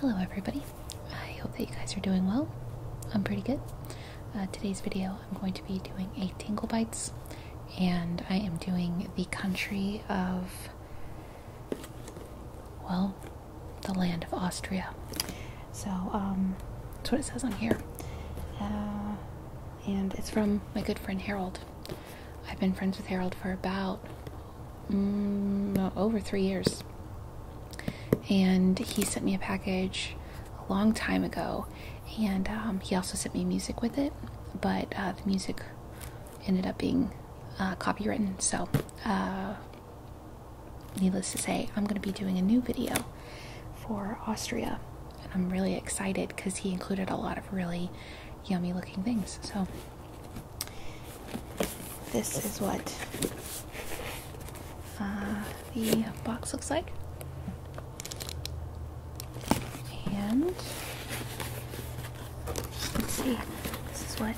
Hello everybody, I hope that you guys are doing well. I'm pretty good. Uh, today's video I'm going to be doing a Tingle Bites and I am doing the country of, well, the land of Austria. So, um, that's what it says on here. Uh, and it's from my good friend Harold. I've been friends with Harold for about, Mm, over three years. And he sent me a package a long time ago, and um, he also sent me music with it, but uh, the music ended up being uh, copywritten. So, uh, needless to say, I'm going to be doing a new video for Austria, and I'm really excited because he included a lot of really yummy looking things. So, this is what uh, the box looks like. And let's see, this is what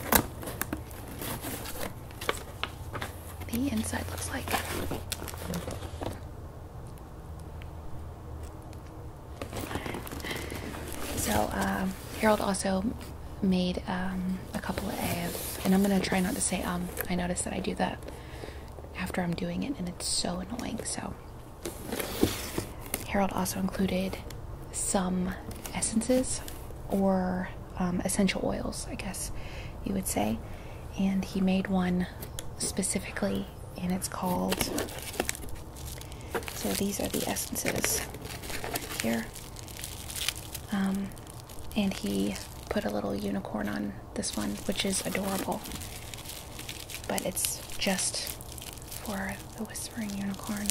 the inside looks like. So, um, Harold also made um, a couple of, and I'm gonna try not to say um, I noticed that I do that after I'm doing it, and it's so annoying. So Harold also included some essences or um, essential oils, I guess you would say, and he made one specifically, and it's called so these are the essences here. Um, and he put a little unicorn on this one, which is adorable. But it's just for the Whispering Unicorn.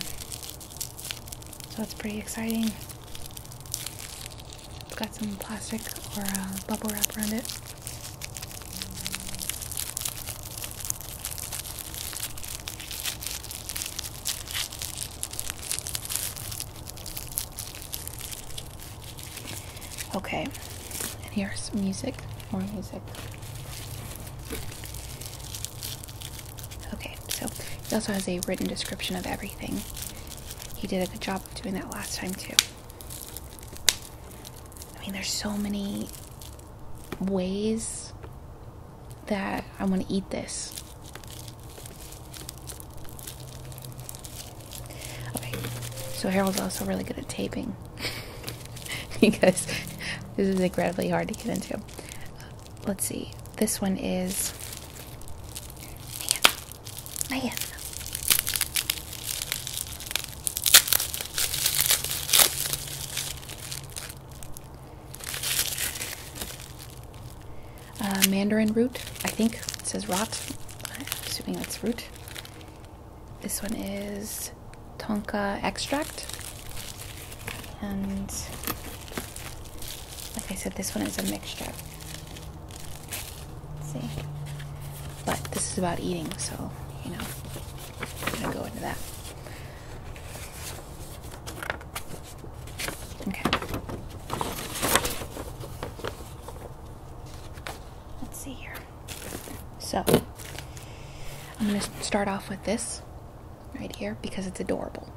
So it's pretty exciting. It's got some plastic or uh, bubble wrap around it. Okay, and here's music, more music. Okay, so he also has a written description of everything. He did a good job of doing that last time, too. I mean, there's so many ways that I want to eat this. Okay, so Harold's also really good at taping because this is incredibly hard to get into. let's see, this one is. Man, man. Uh, mandarin root, I think it says rot. assuming that's root. This one is tonka extract. And like I said, this one is a mixture. see? But this is about eating, so, you know, I'm gonna go into that. Okay. Let's see here. So, I'm going to start off with this right here because it's adorable.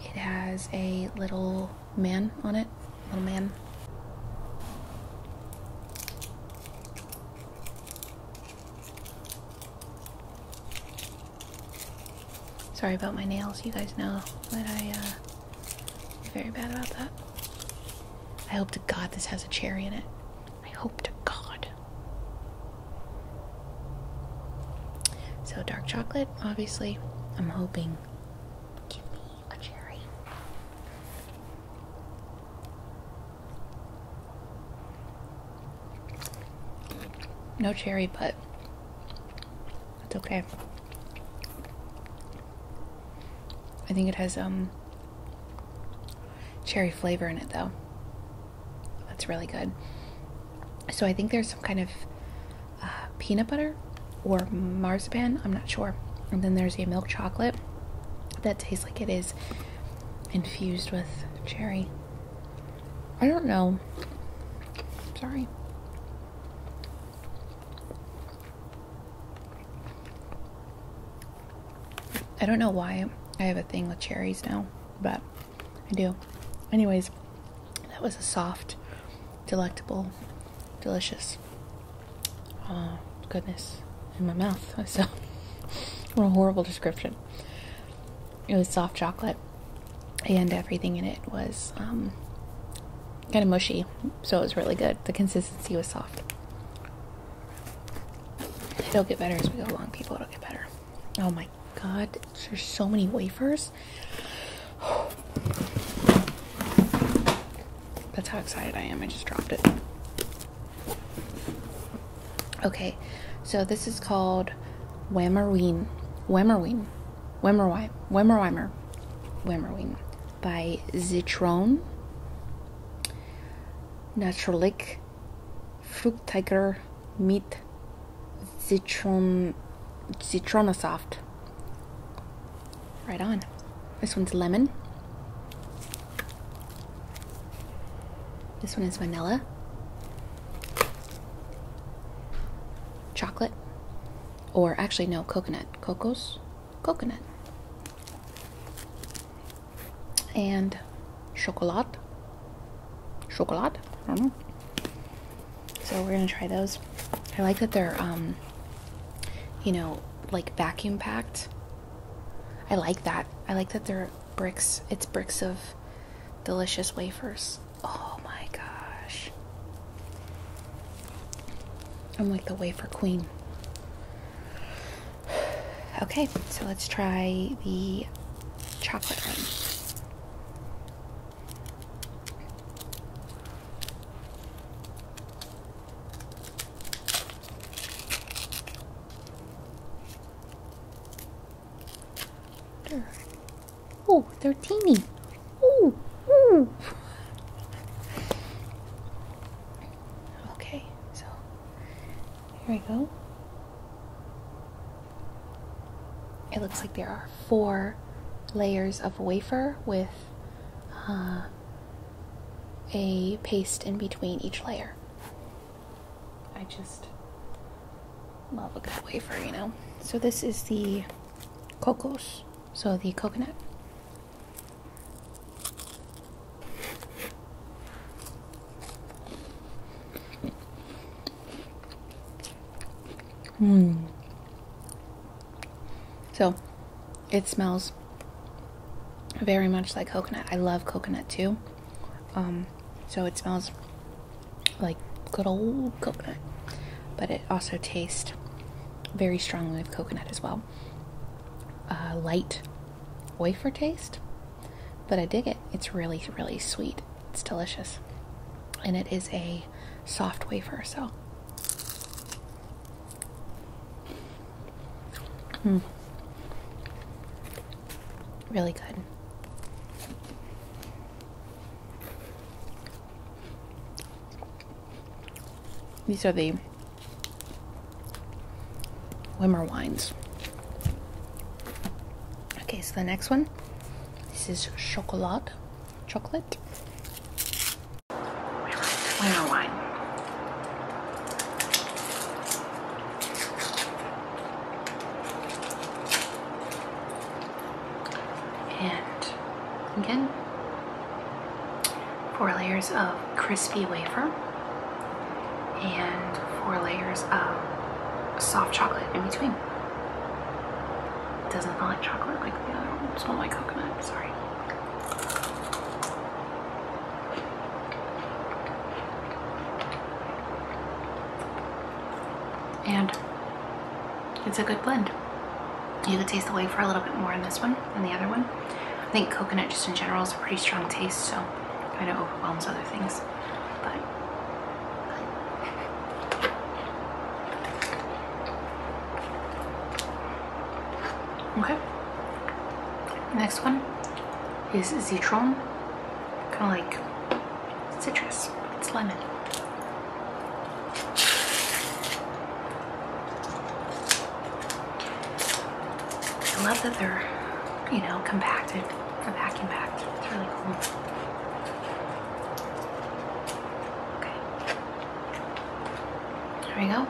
It has a little man on it, little man. Sorry about my nails. You guys know that I, uh, am very bad about that. I hope to God this has a cherry in it. I hope to God. So, dark chocolate, obviously. I'm hoping. Give me a cherry. No cherry, but it's okay. I think it has um cherry flavor in it though. That's really good. So I think there's some kind of uh, peanut butter or marzipan. I'm not sure. And then there's a milk chocolate that tastes like it is infused with cherry. I don't know. Sorry. I don't know why I have a thing with cherries now, but I do. Anyways, that was a soft, delectable, delicious. Uh, goodness. In my mouth. I So, what a horrible description it was soft chocolate, and everything in it was um, kind of mushy, so it was really good. The consistency was soft. It'll get better as we go along, people. It'll get better. Oh my god, there's so many wafers. That's how excited I am. I just dropped it. Okay, so this is called Whammerween. Whammerween. Whammerwine. Whammerwimer. Whammerween by Zitron. Naturlich Fruchtiger mit Zitron Zitronasaft. Right on. This one's lemon. This one is vanilla, chocolate, or actually, no, coconut. Cocos? Coconut. And chocolat. Chocolat. I don't know. So we're gonna try those. I like that they're, um, you know, like vacuum packed. I like that. I like that they're bricks. It's bricks of delicious wafers. Oh my gosh. I'm like the wafer queen. Okay, so let's try the chocolate one. Oh, they're teeny. Ooh, ooh. Okay, so here we go. It looks like there are four layers of wafer with uh, a paste in between each layer. I just love a good wafer, you know. So this is the cocos, so the coconut. Hmm. So, it smells very much like coconut. I love coconut too. Um, so it smells like good old coconut, but it also tastes very strongly of coconut as well. light wafer taste, but I dig it. It's really, really sweet. It's delicious. And it is a soft wafer, so Mm. Really good. These are the Wimmer wines. Okay, so the next one. This is chocolat, chocolate. Wimmer wine. And again, four layers of crispy wafer and four layers of soft chocolate in between. It doesn't smell like chocolate like the other one. It smells like coconut, sorry. And it's a good blend. You could taste the wafer a little bit more in this one than the other one. I think coconut just in general is a pretty strong taste, so kind of overwhelms other things. But Okay. Next one is Zitron. Kind of like citrus. It's lemon. I love that they're, you know, compacted, or vacuum packed. It's really cool. Okay. There we go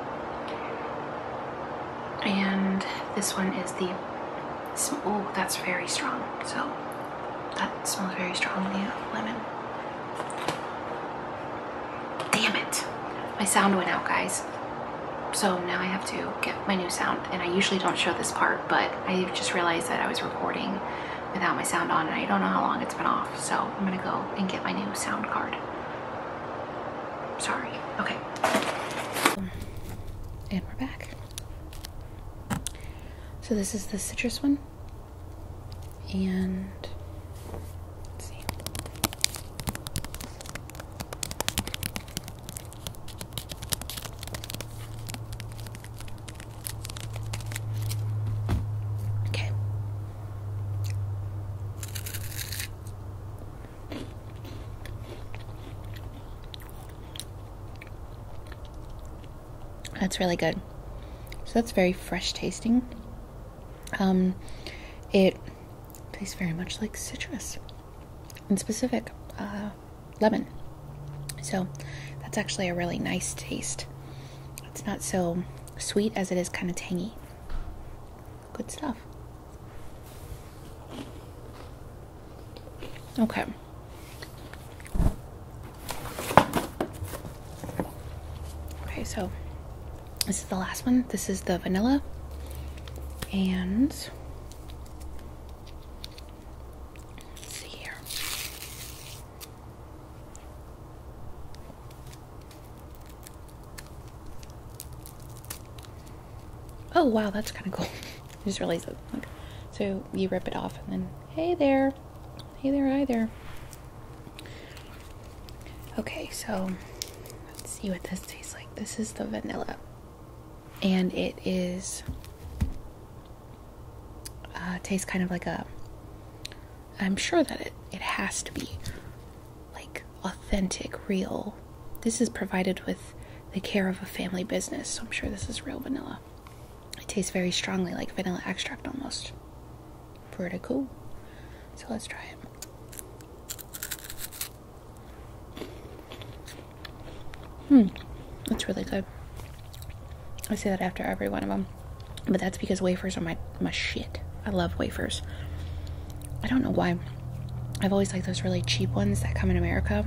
and this one is the oh that's very strong so that smells very strongly the lemon damn it my sound went out guys so now I have to get my new sound and I usually don't show this part but I just realized that I was recording without my sound on and I don't know how long it's been off so I'm gonna go and get my new sound card Sorry. Okay. And we're back. So this is the citrus one. And let's see. Okay. That's really good. So that's very fresh tasting. Um, it tastes very much like citrus, in specific, uh, lemon. So that's actually a really nice taste. It's not so sweet as it is kind of tangy. Good stuff. Okay. Okay, so this is the last one. This is the vanilla. And let's see here. Oh wow, that's kind of cool. just really that. So you rip it off and then, hey there. Hey there, hi there. Okay, so let's see what this tastes like. This is the vanilla. And it is, uh, tastes kind of like a, I'm sure that it, it has to be like authentic, real. This is provided with the care of a family business, so I'm sure this is real vanilla. It tastes very strongly like vanilla extract almost. Pretty cool. So let's try it. Hmm, that's really good. I say that after every one of them, but that's because wafers are my my shit. I love wafers. I don't know why. I've always liked those really cheap ones that come in America.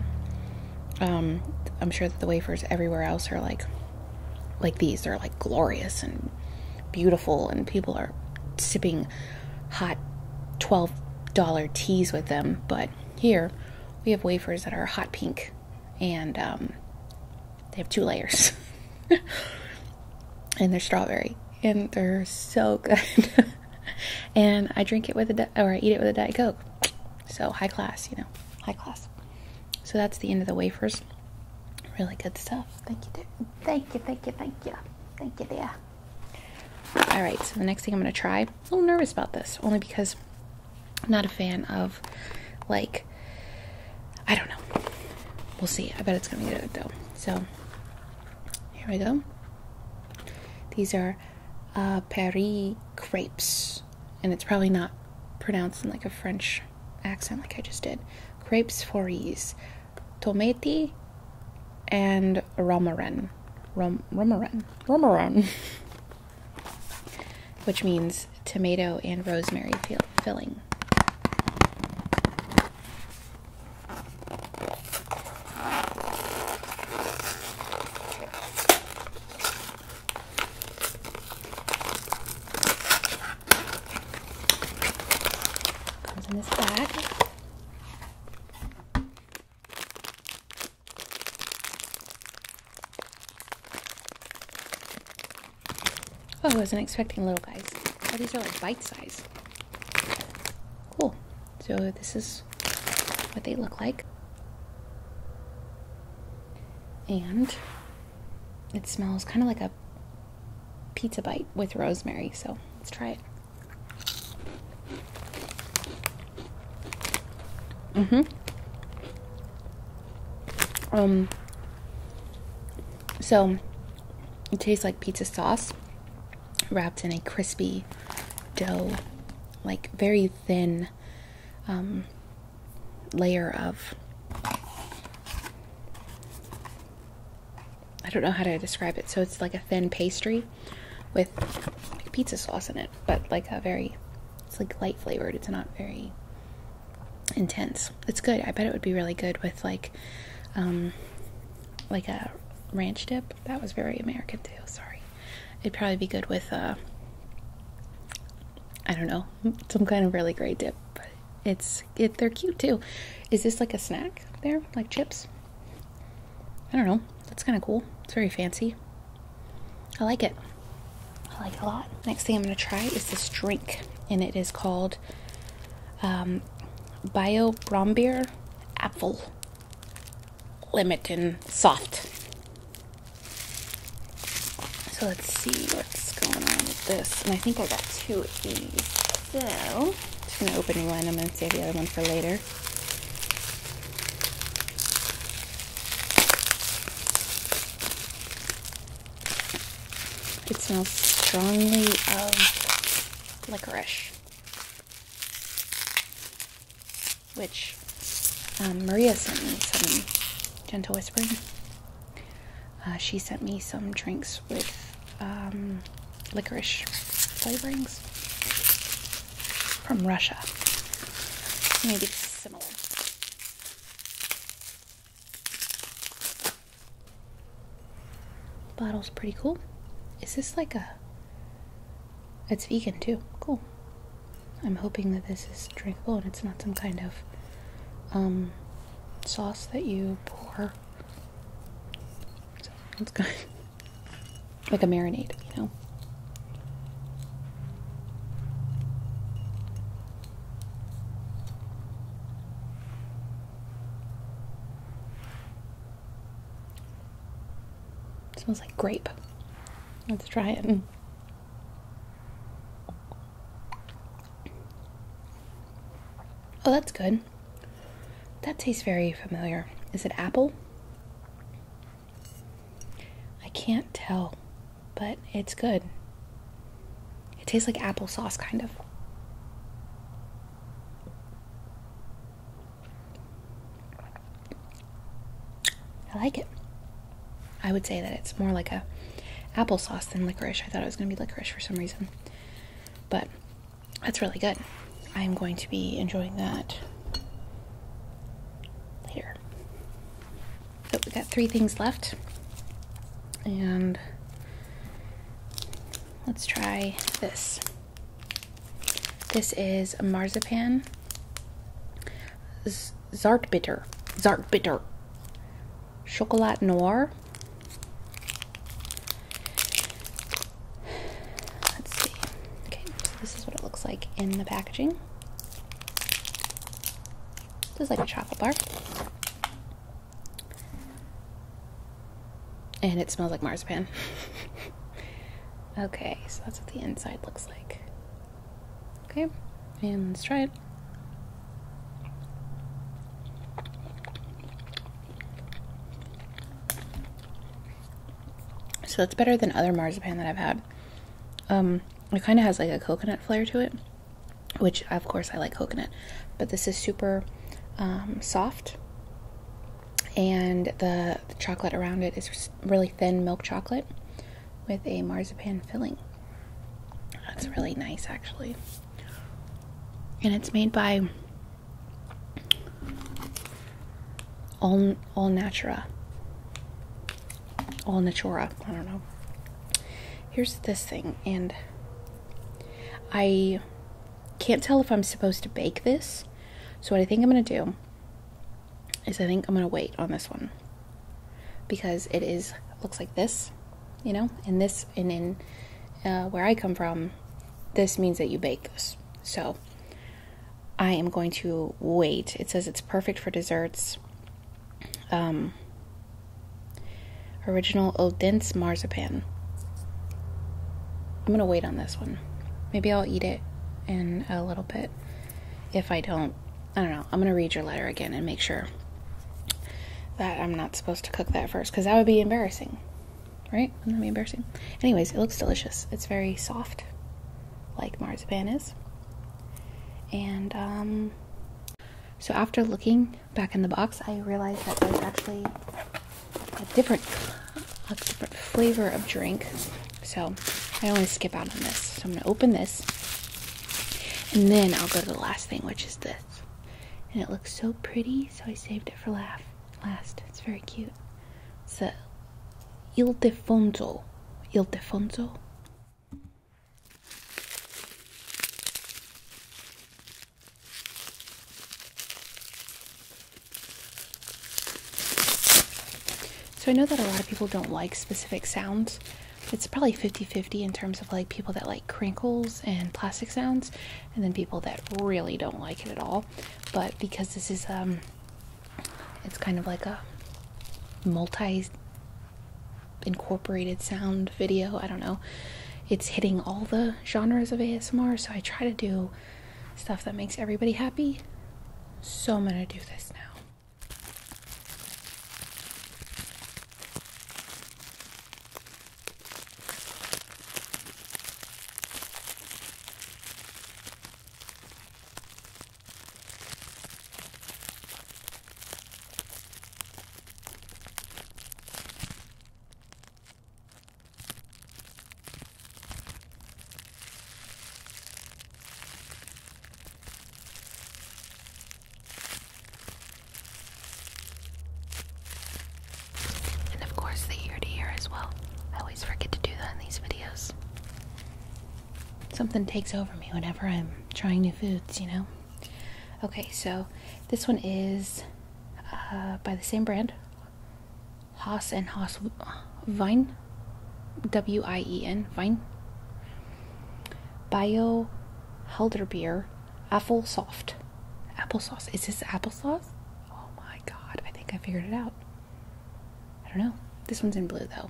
Um, I'm sure that the wafers everywhere else are like, like these. They're like glorious and beautiful, and people are sipping hot twelve dollar teas with them. But here, we have wafers that are hot pink, and um, they have two layers, and they're strawberry and they're so good. and I drink it with a or I eat it with a diet coke. So high class, you know, high class. So that's the end of the wafers. Really good stuff. Thank you, dear. thank you, thank you, thank you, thank you, dear. All right. So the next thing I'm gonna try. a little nervous about this, only because I'm not a fan of like I don't know. We'll see. I bet it's gonna be good though. So here we go. These are uh, Paris crepes, and it's probably not pronounced in like a French accent like I just did. Crepes fories, tomati, and romarin. Rom- romarin. Romarin. Which means tomato and rosemary field filling. Comes in this bag. Oh, I wasn't expecting little guys. Oh, these are like bite size. Cool. So this is what they look like. And it smells kind of like a pizza bite with rosemary. So let's try it. Mm-hmm. Um, so it tastes like pizza sauce wrapped in a crispy dough, like very thin um, layer of. I don't know how to describe it. So it's like a thin pastry with pizza sauce in it, but like a very, it's like light flavored. It's not very intense. It's good. I bet it would be really good with like um like a ranch dip. That was very American too, sorry. It'd probably be good with uh I don't know, some kind of really great dip. But it's it they're cute too. Is this like a snack there? Like chips? I don't know. That's kind of cool. It's very fancy. I like it. I like a lot. Next thing I'm going to try is this drink, and it is called um, Bio Brombeer Apple Limited Soft. So let's see what's going on with this. And I think I got two of these. So I'm just going to open one. I'm going to save the other one for later. It smells strongly of licorice, which um, Maria sent me some gentle whispering. Uh, she sent me some drinks with um, licorice flavorings from Russia. Maybe it's similar. Bottle's pretty cool. Is this like a. It's vegan too. Cool. I'm hoping that this is drinkable and it's not some kind of um, sauce that you pour. So good. like a marinade, you know? smells like grape. Let's try it. Oh, that's good. That tastes very familiar. Is it apple? I can't tell but it's good. It tastes like applesauce, kind of. I like it. I would say that it's more like a applesauce than licorice. I thought it was going to be licorice for some reason. But that's really good. I'm going to be enjoying that later. So we got three things left. And let's try this. This is marzipan bitter, zartbitter. bitter, Chocolat noir. Let's see. Okay, so this is what it looks like in the packaging. This is like a chocolate bar. And it smells like marzipan. okay, so that's what the inside looks like. Okay, and let's try it. So that's better than other marzipan that I've had. Um, it kind of has like a coconut flair to it which of course I like coconut, but this is super um, soft, and the, chocolate around it is really thin milk chocolate with a marzipan filling. That's really nice, actually. And it's made by All All Natura. All Natura. I don't know here's this thing, and I can't tell if I'm supposed to bake this. So, what I think I'm going to do is I think I'm going to wait on this one because it is looks like this, you know, and this, and in uh, where I come from, this means that you bake this. So, I am going to wait. It says it's perfect for desserts, um, original Odense marzipan. I'm gonna wait on this one. Maybe I'll eat it in a little bit. If I don't, I don't know. I'm gonna read your letter again and make sure that I'm not supposed to cook that first because that would be embarrassing, right? Wouldn't that be embarrassing? Anyways, it looks delicious. It's very soft, like marzipan is. And um, so after looking back in the box, I realized that there's actually a different, a different flavor of drink. So I don't want to skip out on this. So I'm going to open this, and then I'll go to the last thing, which is this. And it looks so pretty, so I saved it for last. last. It's very cute. It's a Ildefonso. Defonso. So I know that a lot of people don't like specific sounds. It's probably 50-50 in terms of like people that like crinkles and plastic sounds and then people that really don't like it at all. But because this is um it's kind of like a multi incorporated sound, video, I don't know. It's hitting all the genres of ASMR, so I try to do stuff that makes everybody happy. So I'm gonna do this now. And of course, the ear to ear as well. I always forget to do that in these videos something takes over me whenever I'm trying new foods, you know? Okay, so this one is uh, by the same brand Haas and Haas Wein, W I E N, Vine. Bio Helderbeer Apple Soft. Applesauce. Is this applesauce? Oh my god, I think I figured it out. I don't know. This one's in blue though.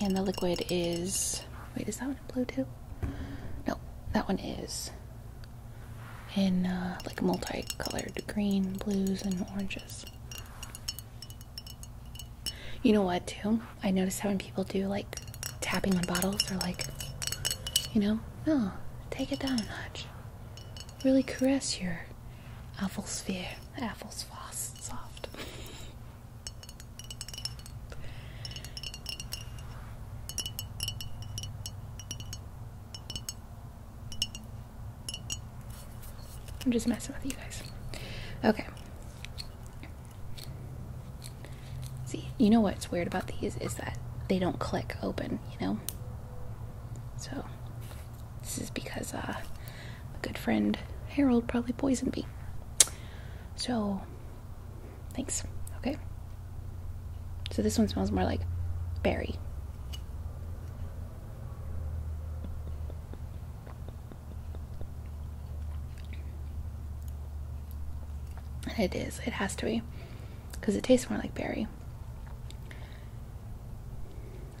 And the liquid is. Wait, is that one blue too? No, that one is in uh, like multicolored green, blues, and oranges. You know what, too? I noticed how many people do like tapping on bottles, or like, you know, no, oh, take it down a notch. Really caress your sphere. Apples fast soft. I'm just messing with you guys. Okay. See, you know what's weird about these is that they don't click open, you know? So, this is because uh, my good friend Harold probably poisoned me. So, thanks. Okay. So this one smells more like berry. It is. It has to be. Because it tastes more like berry.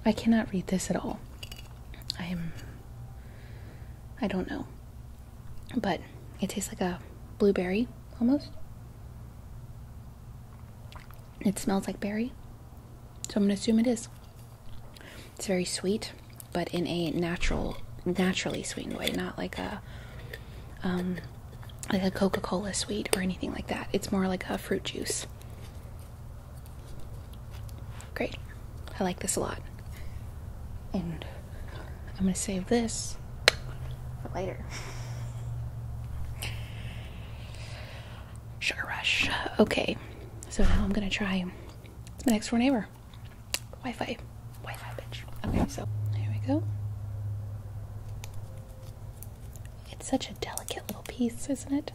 I cannot read this at all. I am. I don't know. But it tastes like a blueberry almost. It smells like berry. So I'm going to assume it is. It's very sweet, but in a natural, naturally sweetened way, not like a. Um, like a Coca Cola sweet or anything like that. It's more like a fruit juice. Great. I like this a lot. And I'm going to save this for later. Sugar rush. Okay. So now I'm going to try the next door neighbor. Wi Fi. Wi Fi, Okay, so here we go. It's such a delicate little piece, isn't it?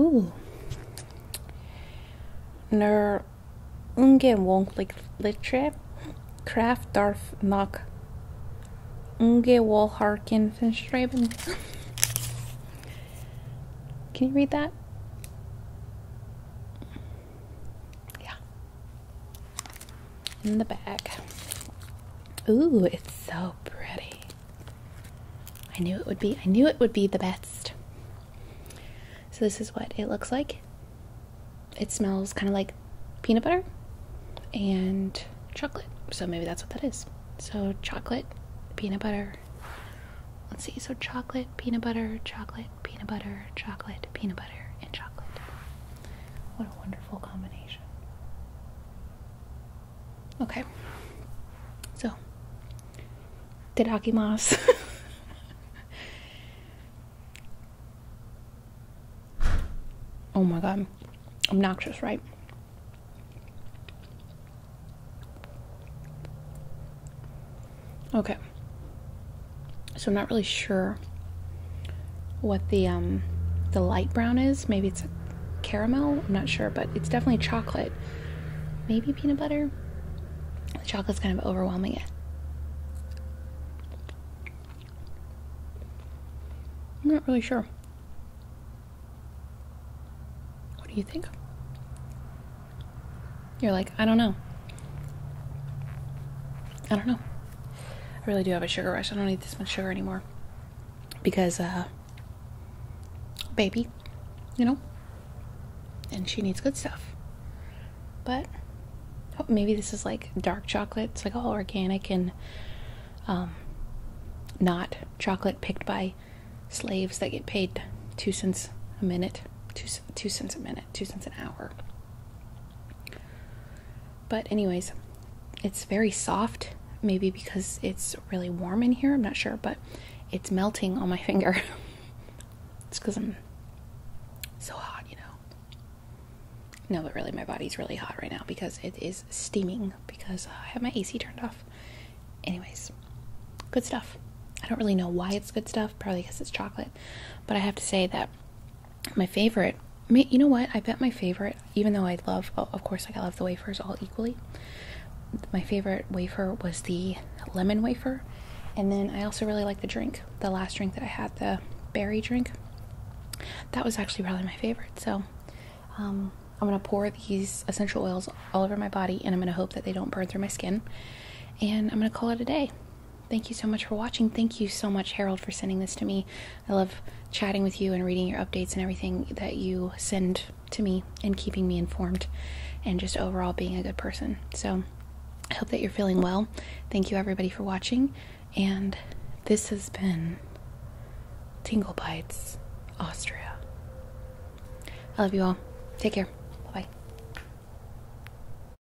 Ooh. Ner ungen wonk kraft darf nok unge wol harkin Can you read that? Yeah in the bag. Ooh, it's so pretty. I knew it would be. I knew it would be the best. So this is what it looks like. It smells kind of like peanut butter and chocolate. So maybe that's what that is. So chocolate, peanut butter. Let's see. So chocolate, peanut butter, chocolate, peanut butter, chocolate, peanut butter, and chocolate. What wonderful combination. Okay. So, did tadakimasu. oh my god. Obnoxious, right? Okay. So I'm not really sure what the um, the light brown is. Maybe it's caramel. I'm not sure, but it's definitely chocolate. Maybe peanut butter. The chocolate's kind of overwhelming it. I'm not really sure. What do you think? You're like, I don't know. I don't know. I really do have a sugar rush. I don't need this much sugar anymore. Because, uh, baby, you know? And she needs good stuff. But oh, maybe this is like dark chocolate. It's like all organic and um, not chocolate picked by slaves that get paid two cents a minute, two, two cents a minute two cents an hour. But, anyways, it's very soft. Maybe because it's really warm in here, I'm not sure, but it's melting on my finger. it's because I'm so hot, you know. No, but really, my body's really hot right now because it is steaming because I have my AC turned off. Anyways, good stuff. I don't really know why it's good stuff, probably because it's chocolate, but I have to say that my favorite, you know what? I bet my favorite, even though I love, oh, of course, like I love the wafers all equally. My favorite wafer was the lemon wafer, and then I also really like the drink. The last drink that I had, the berry drink, that was actually probably my favorite. So, um, I'm gonna pour these essential oils all over my body, and I'm gonna hope that they don't burn through my skin. And I'm gonna call it a day. Thank you so much for watching. Thank you so much, Harold, for sending this to me. I love chatting with you and reading your updates and everything that you send to me and keeping me informed and just overall being a good person. So I hope that you're feeling well. Thank you, everybody, for watching. And this has been Tingle Bites, Austria. I love you all. Take care. Bye.